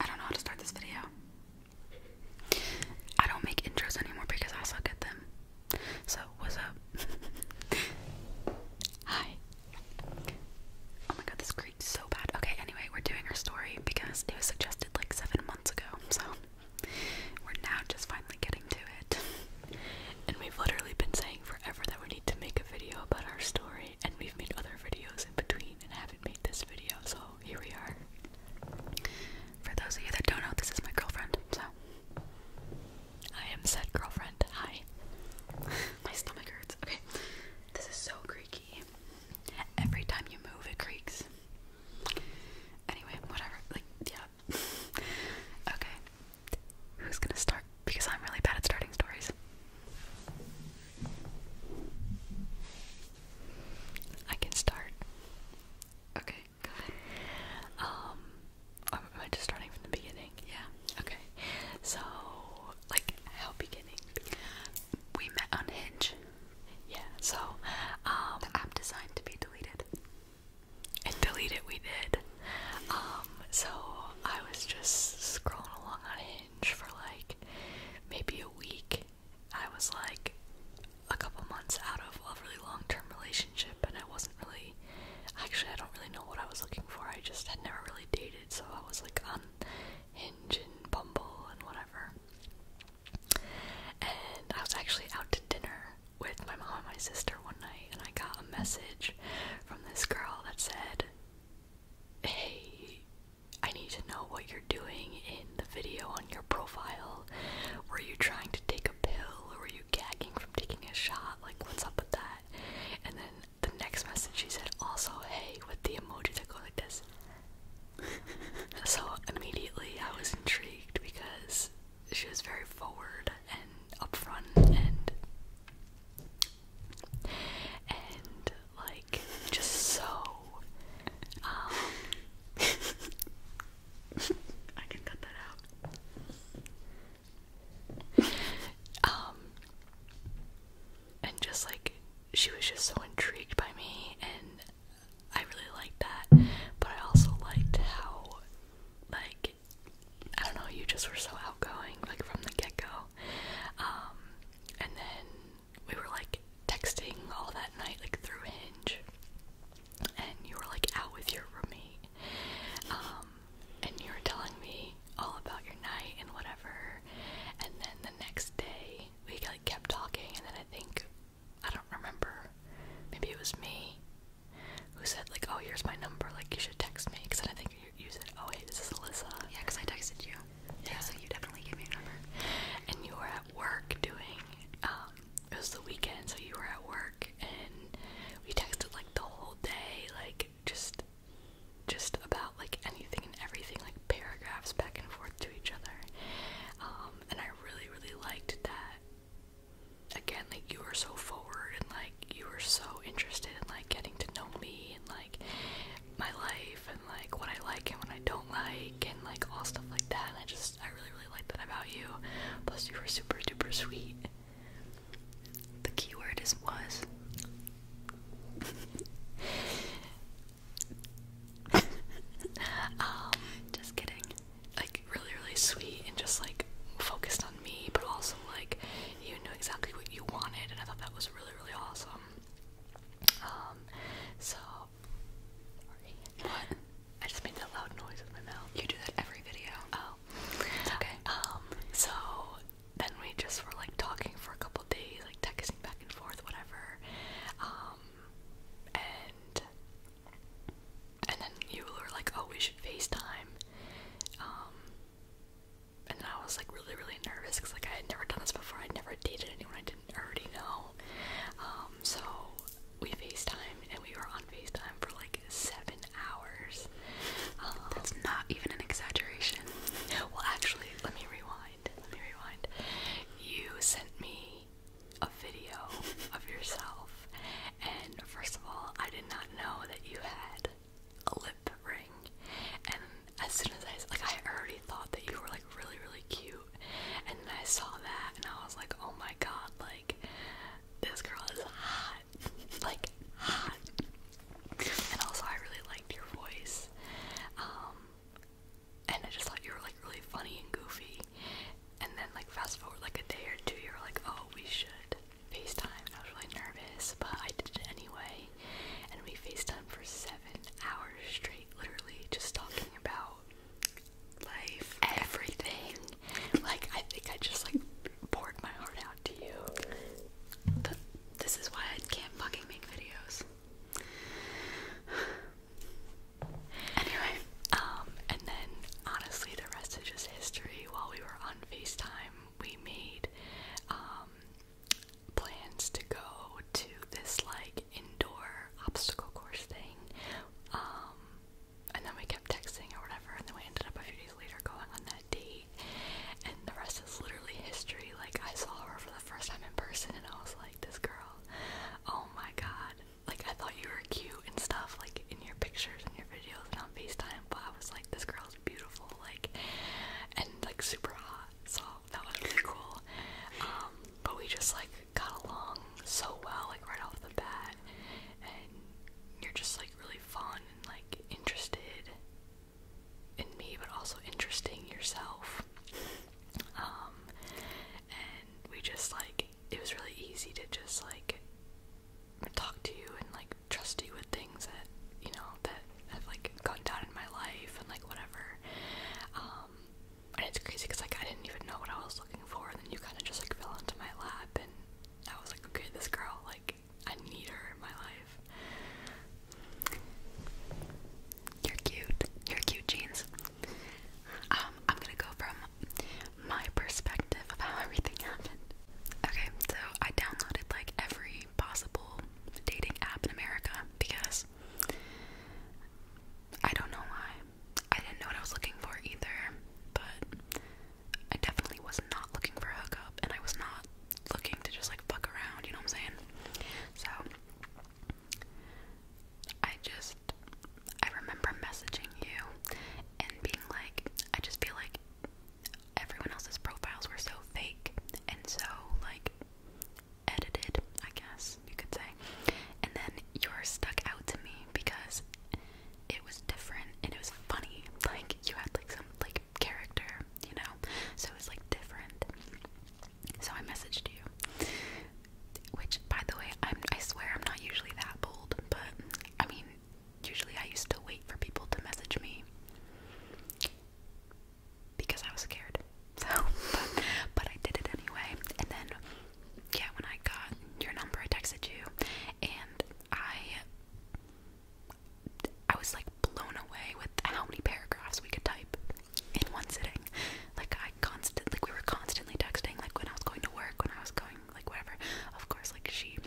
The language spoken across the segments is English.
I don't know how to start this video. I don't make intros anymore because I suck at them. So, what's up? Hi. Oh my god, this creaked so bad. Okay, anyway, we're doing our story because it was suggested like seven months ago. So, we're now just finally getting to it. And we've literally been saying forever that we need to make a video about our story, and we've made other videos in between and have made this video, so here we are. For those of you that don't know, this is my girlfriend, so I am said girlfriend. Hi. my stomach hurts. Okay. This is so creaky. Every time you move it creaks. Anyway, whatever. Like, yeah. okay. Who's gonna start? Because I'm really bad at starting stories. I can start. Okay, Um, am I just starting from the beginning? Yeah. Okay. So, like, how beginning? We met on Hinge. Yeah. So, um, the app designed to be deleted. And delete it, we did. Um, so I was just scrolling along on for like maybe a week. I was like a couple months out of a really long term relationship, and I wasn't really actually, I don't really know what I was looking for. I just had never really dated, so I was like on Hinge and Bumble and whatever. And I was actually out to dinner with my mom and my sister one night, and I got a message from this girl that said, Hey, I need to know what you're doing in the video on your profile. Were you trying to take a pill or were you gagging from taking a shot? Like, what's up with that? And then the next message she said, also, hey, with the emoji that go like this. so immediately I was intrigued because she was very forward and upfront and and like just so um I can cut that out. Um and just like she was just so intrigued by me and I really liked that, but I also liked how like I don't know, you just were so outgoing like from the get-go. Um and then we were like texting all that night, like through Hinge, and you were like out with your roommate, um, and you were telling me all about your night and whatever, and then the next day we like kept talking, and then I think I don't remember, maybe it was me who said like, oh, here's my number, like you should text me, because I think you you said, "Oh hey, this is Alyssa." Yeah, because I texted you. Yeah. yeah, so you definitely gave me your number. And you were at work doing. Um, it was the weekend, so you were at work, and we texted like the whole day, like just, just about like anything and everything, like paragraphs back and forth to each other. Um, and I really, really liked that. Again, like you were so forward and like you were so interested in like getting to know me and like my life and like what I like and what I don't like and like all stuff like that. And I just I really really like that about you. Plus you were super duper sweet. The keyword is was. Um, just kidding. Like really really sweet and just like focused on me, but also like you knew exactly what you wanted, and I thought that was really really awesome. Um, um, so What? I just made that loud noise with my mouth. You do that every video. Oh. okay. Um, so then we just were like talking for a couple days, like texting back and forth, whatever. Um and and then you were like, oh, we should FaceTime. Um and I was like really really nervous because like I had never done this before. I'd never dated anyone I didn't already know. Um, so we FaceTime and we were on FaceTime for like seven hours. Um, That's not even an exaggeration. Well, actually, let me rewind. Let me rewind. You sent me a video of yourself, and first of all, I did not know that you had a lip ring, and as soon as I like, I already thought that you were like really, really cute, and then I saw that, and I was like, oh my god, like this girl is hot, like hot. And also, I really liked your voice, um, and I just thought you were like really funny and goofy. And then, like fast forward like a day or two, you were like, oh, we should FaceTime I was really nervous, but I did it anyway. And we FaceTime for seven hours straight, literally just talking about life, everything. like I think I just like poured my heart out to you. this is why I can't fucking make videos. anyway, um, and then honestly the rest is just history. While we were on FaceTime, we made um plans to go to this like indoor obstacle course thing. Um, and then we kept texting or whatever, and then we ended up a few days later going on that date. And the rest is literally history. Like, I saw her for the first time in person, and I was like, this girl, oh my god. Like, I thought you were cute and stuff, like in your pictures and your videos and on FaceTime, but I was like, this girl was beautiful, like, and like super hot. So that was really cool. Um, but we just like got along so well, like right off the bat, and you're just like really fun and like interested in me, but also interesting yourself. Um, and we just like it was really easy to just like talk to you and like Trust you with things that you know that have like gone down in my life and like whatever. Um, and it's crazy because like I didn't even know what I was looking for, and then you kind of just like fell into my lap, and I was like, okay, this girl, like I need her in my life. You're cute. You're cute jeans. Um, I'm gonna go from my perspective of how everything happened. Okay, so I downloaded like every possible dating app in America because I don't know why. I didn't know what I was looking for either, but I definitely was not looking for a hookup and I was not looking to just like fuck around, you know what I'm saying? So I just I remember messaging you and being like I just feel like everyone else's profiles were so fake and so like edited, I guess you could say. And then you are stuck out to me because it was different and it was funny. Like you had like some like character, you know? So it was like different. So I messaged you. Which by the way, I swear I'm not usually that bold, but I mean usually I used to wait for people to message me because I was scared. So, but, I did it anyway. And then, yeah, when I got your number, I texted you, and I, I was like blown away with how many paragraphs we could type in one sitting. Like I constantly, like we were constantly texting. Like when I was going to work, when I was going, like whatever. Of course, like she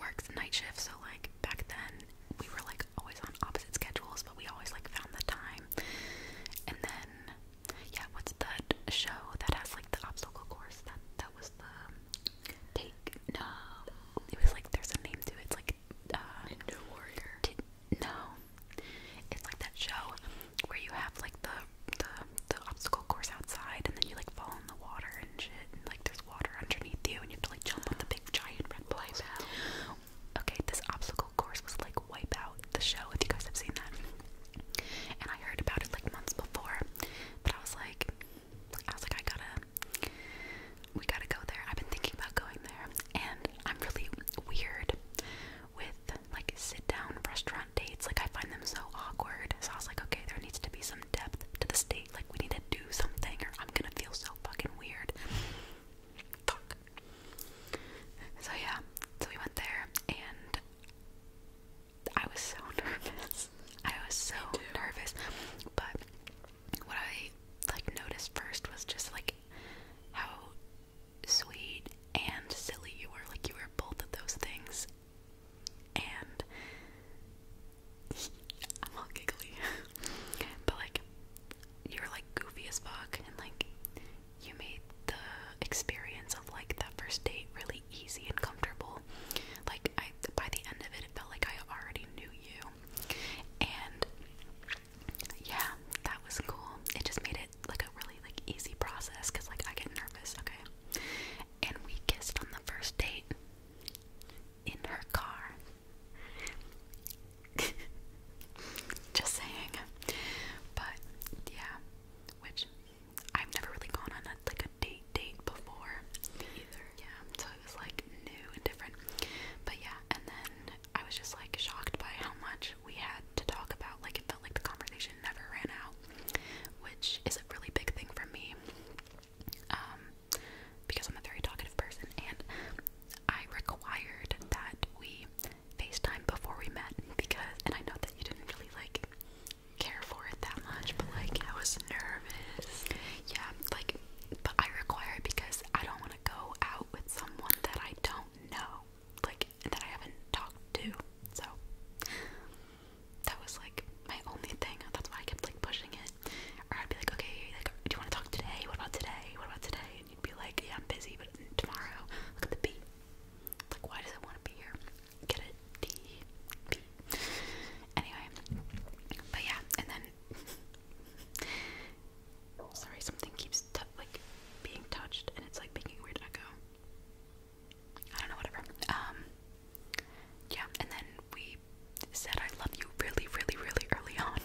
works night shift, so like back then we were like always on opposite schedules, but we always like found the time. And then yeah, what's that show that has like the obstacle course? That that was the take no. It was like there's a name to it. It's like uh Ninja Warrior. T no. It's like that show where you have like the the the obstacle course outside and then you like fall in the water and shit and like there's water underneath you and you have to like jump on the big giant red balls. Okay, this obstacle course was like Wipeout, the show, if you guys have seen that. And I heard about it like months before, but I was like, I was like, I gotta, we gotta go there. I've been thinking about going there, and I'm really weird with like sit down restaurant dates. Like, I find them so awkward. So I was like, okay, there needs to be some depth to the this like, we need to do something, or I'm gonna feel so fucking weird. So, yeah, so we went there, and I was so nervous. I was so nervous. But what I like noticed first was just like how sweet and silly you were. Like, you were both of those things and I'm all giggly. but like you were like goofy as fuck and like you made the experience of like that first date really easy and comfortable. Like I by the end of it it felt like I already knew you. And yeah, that was cool. It just made it like a really like easy process cuz like I get nervous, okay? And we kissed on the first date in her car. Just saying. But yeah, which I've never really gone on like a date date before either. Yeah, so it was like new and different. But yeah, and then I was just like shocked by how much we had to talk about. Like it felt like the conversation never ran out, which is a really big thing for me. Um, because I'm a very talkative person and I required that we FaceTime before we met because and I know that you didn't really like care for it that much, but like I was nervous. Yeah, like but I require it because I don't want to go out with someone that I don't know. Like that I haven't talked to. So that was like my only thing. That's why I kept like pushing it. Or I'd be like, okay, like, do you want to talk today? What about today? What about today? And you'd be like, yeah, I'm busy, but tomorrow. Look at the B. Like, why does it want to be here? Get it? D B. Anyway, but yeah, and then. Sorry, something keeps like being touched, and it's like making weird echo. I don't know, whatever. Um, yeah, and then we said I love you really, really, really early on,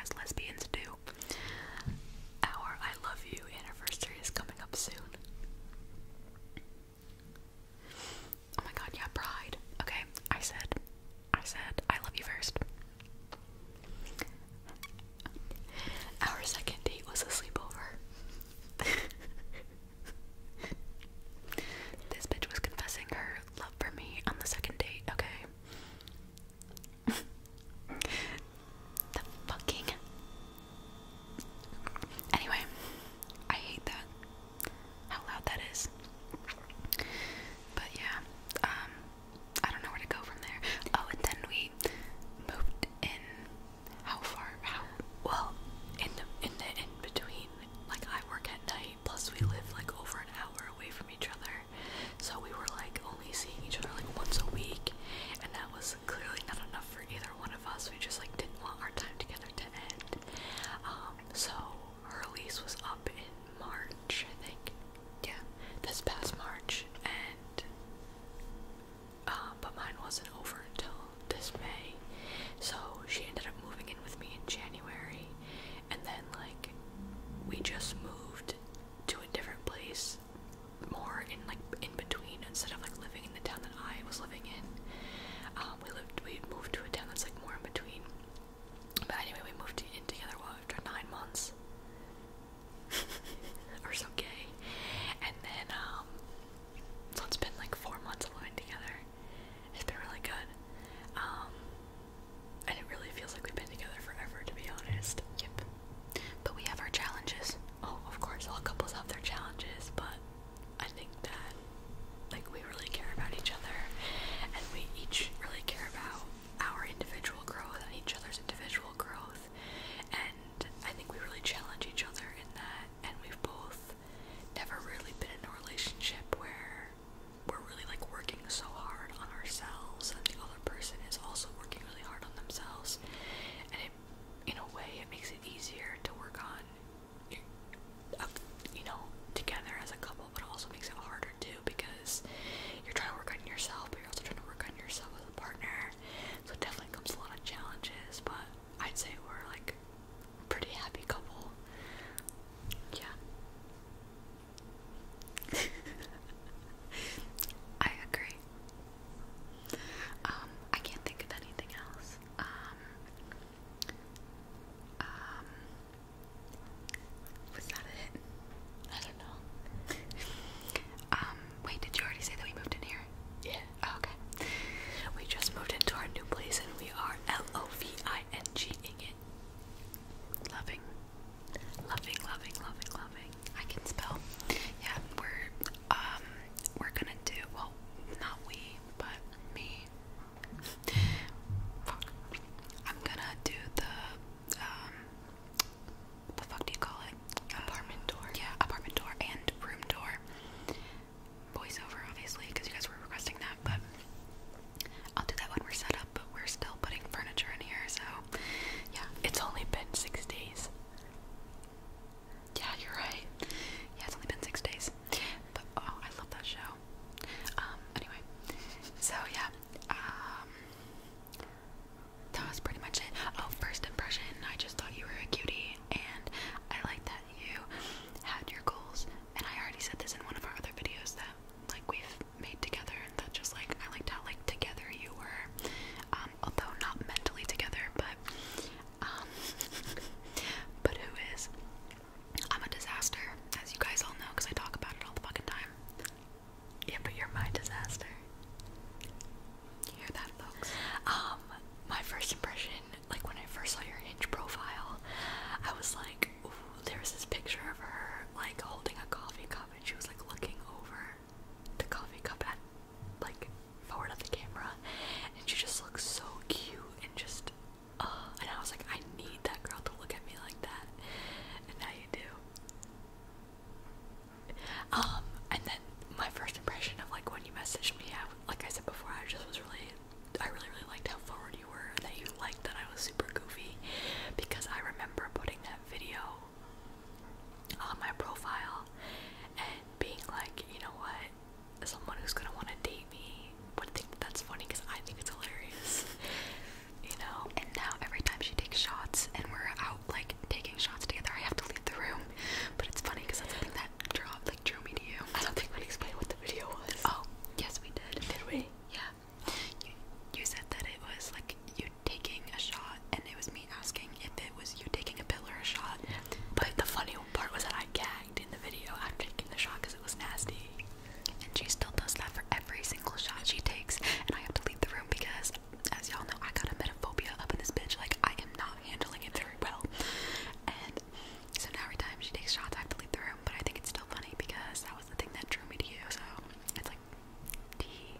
as lesbians do. Our I love you anniversary is coming up soon. Oh my god, yeah, pride. Okay, I said, I said, I love you first. Our second date was a sleepover. this bitch was confessing her love for me on the second date, okay? the fucking. Anyway, I hate that. How loud that is. But yeah, um, I don't know where to go from there. Oh, and then we moved in. How far? How? Well, in the in the in between like I work at night, plus we live like over an hour away from each other, so we were like only seeing each other like once a week, and that was clearly not enough for either one of us. We just like didn't want our time together to end. Um, so her lease was up in March, I think. Yeah, this past March, and uh, but mine wasn't over until this So she ended up moving in with me in January, and then, like, we just moved to a different place more in like in between instead of like living in the town that I was living in. Um, we lived we moved to a town that's like more in between. But anyway, we moved in together well, after nine months or so gay. And then um so it's been like four months of living together. It's been really good. Um, and it really feels like we've been together forever, to be honest. Yep. But we have our challenges. Oh, of course, all couples have their challenges, but I think that, like, we really care about each other, and we each really care about our individual growth and each other's individual growth. And I think we really challenge each other in that, and we've both never really been in a relationship where we're really like working so hard on ourselves and the other person is also working really hard on themselves and it in a way it makes it easier to work on uh, you know together as a couple but it also makes it harder too because you're trying to work on yourself but you're also trying to work on yourself as a partner so it definitely comes a lot of challenges but I'd say we're like a pretty happy couple. Yeah. I agree. Um, I can't think of anything else. Um, um, was that it? I don't know. um, wait, did you already say that we moved in here? Yeah. Okay. We just moved into our new place and we are loving it. Loving. Loving, loving, loving, loving. I can spell. Yeah, we're um we're gonna do well not we, but me. Fuck. I'm gonna do the um what fuck do you call it? Apartment door. Yeah, apartment door and room door voiceover, obviously, because you guys were requesting that, but I'll do that when we're set up, but we're still putting furniture in here, so yeah, it's only been six days. Yeah, you're right. Yeah, it's only been six days. But oh, I love that show. Um, anyway, so yeah, um, that was pretty much it. Oh, first impression, I just thought you were a cutie, and I like that you had your goals. And I already said this in one of our other videos that like we've made together, and that just like I liked how like together you were, um, although not mentally together, but um, but who is? I'm a disaster, as you guys all know, because I talk about it all the fucking time. Yeah, but you're my disaster. hear that, folks? Um, my first impression like when I first saw your Hinge profile, I was like, ooh, there's this picture of her like holding a coffee cup and she was like looking over the coffee cup at like forward of the camera and she just looks so cute and just uh and I was like I need that girl to look at me like that and now you do. Um and then my first impression of like when you messaged me, I, like I said before, I just was really, I really, really liked how forward you were, that you liked that I was super goofy, because I remember putting that video on my profile and being like, you know what, someone who's gonna want to date me would think that's funny because I think it's hilarious, you know. And now every time she takes shots and we're out like taking shots together, I have to leave the room, but it's funny because that's something that that like drew me to you. I don't think we explained what the video was. Oh, yes we did. Did we? Yeah. You, you said that it was like you taking a shot and it was me asking if it was you taking a pill or a shot. But the funny part was that I gagged in the video after taking the shot because it was nasty. And she still does that for every single shot she takes. And I have to leave the room because, as y'all know, I got a metaphobia up in this bitch. Like, I am not handling it very well. And so now every time she takes shots, I have to leave the room. But I think it's still funny because that was the thing that drew me to you. So it's like, tea.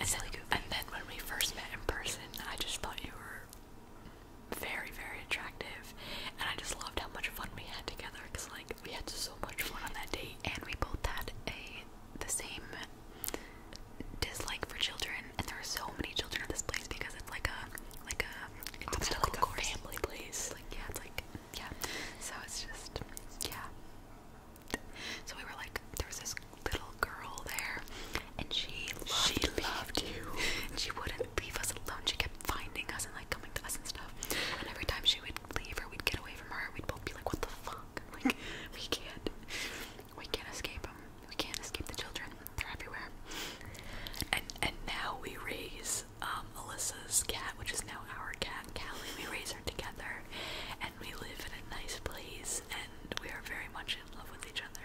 And, so, and then when we first met in person, I just thought you were very, very attractive. And I just loved how much fun we had together because, like, we had so much fun on that date. And we both had a the same dislike for children, and there are so many children at this place because it's like a like a it's obstacle like course. A family place. It's like yeah, it's like yeah. So it's just yeah. So we were like, there was this little girl there, and she loved she me. loved you. And she wouldn't leave us alone. She kept finding us and like coming to us and stuff. And every time she would leave or we'd get away from her, we'd both be like, what the fuck? Like we can't. We can't escape them. We can't escape the children. They're everywhere. And and now we raise um, Alyssa's cat, which is now our cat, Callie. We raise her together, and we live in a nice place, and we are very much in love with each other.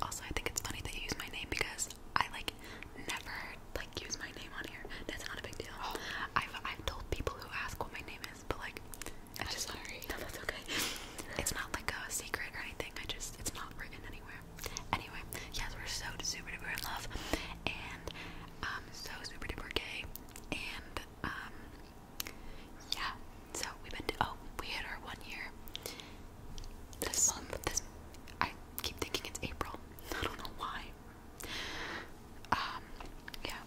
Also, I think it's funny that you use my name because I like never like use my name on here. That's not a big deal. Oh. I've I've told people who ask what my name is, but like I just I'm sorry. No, that's okay. It's not like a secret or anything. I just it's not written anywhere. Anyway, yes, we're so super duper in love, and um, so super duper gay, and um, yeah. So we've been oh we hit our one year this month. This I keep thinking it's April. I don't know why. Um, yeah.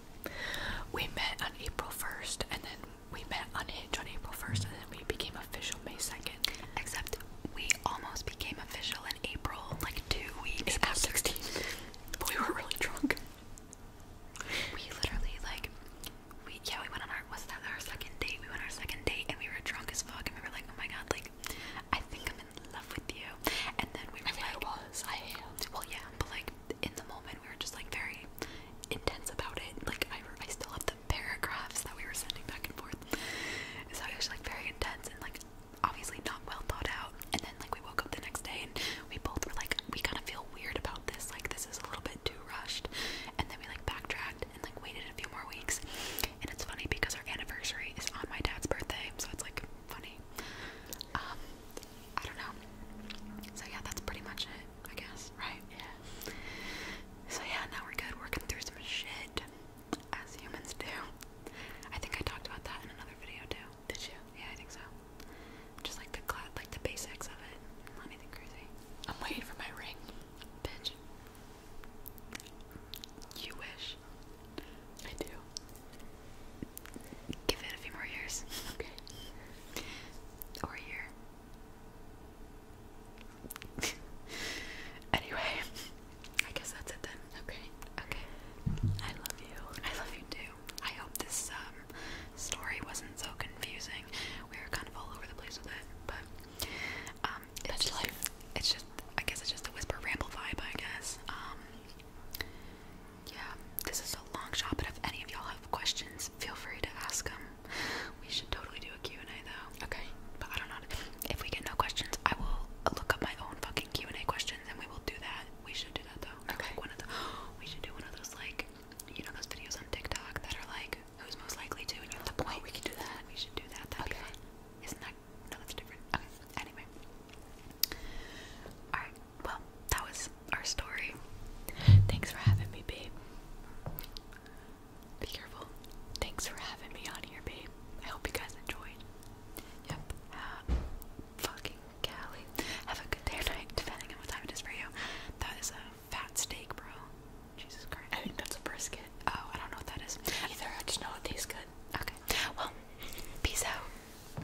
We met on April 1st and then we met on Hitch on April 1st and then we became official May 2nd. Except we almost became official in April, like two weeks April after. 16th. But we were really drunk. We literally, like, we, yeah, we went on our, was that our second date? We went on our second date and we were drunk as fuck and we were like, oh my god, like, I think I'm in love with you. And then we were I mean, like, I was, I am. Well, yeah, but like, in the moment we were just like very intense about it. Like I, I still have the paragraphs that we were sending back and forth. So it was like very intense and like obviously not well thought out. And then like we woke up the next day and we both were like we kind of feel weird about this. Like this is a little bit too rushed. And then we like backtracked and like waited a few more weeks. And it's funny because our anniversary is on my dad's birthday, so it's like funny. Um, I don't know. So yeah, that's pretty much it. I guess, right? Yeah. So yeah, now we're good. Working through some shit, as humans do. I think I talked about that in another video too. Did you? Yeah, I think so. Just like the like the basics of it. Not crazy. I'm waiting for my ring, bitch. You wish. I do. Give it a few more years. Okay. Or a year. anyway, I guess that's it then. Okay. Okay. I love you. I love you too. I hope this um, story wasn't so confusing. We were kind of all over the place with it, but um it's just, life. It's just I guess it's just a whisper ramble vibe, I guess. Um yeah, this is a long shot, but if any of y'all have questions, feel free to ask them. We should totally do a Q&A though. Okay. But I don't know. If we get no questions, I will look up my own fucking Q&A questions and we will do that. We should do that though. Okay. one of we should do one of those like, you know those videos on TikTok that are like, who's most likely to and you have the point. Oh, we can do that. We should do that. That'd be fun. Isn't that, no that's different. Okay. Anyway. Alright, well, that was our story. Thanks for having me, babe. Be careful. Thanks for having me on here, babe. I hope you guys enjoyed. Yep. fucking Callie. Have a good day or night, depending on what time it is for you. That is a fat steak, bro. Jesus Christ. I think that's a brisket. Oh, I don't know what that is. Either. I just know it tastes good. Okay. Well, peace out.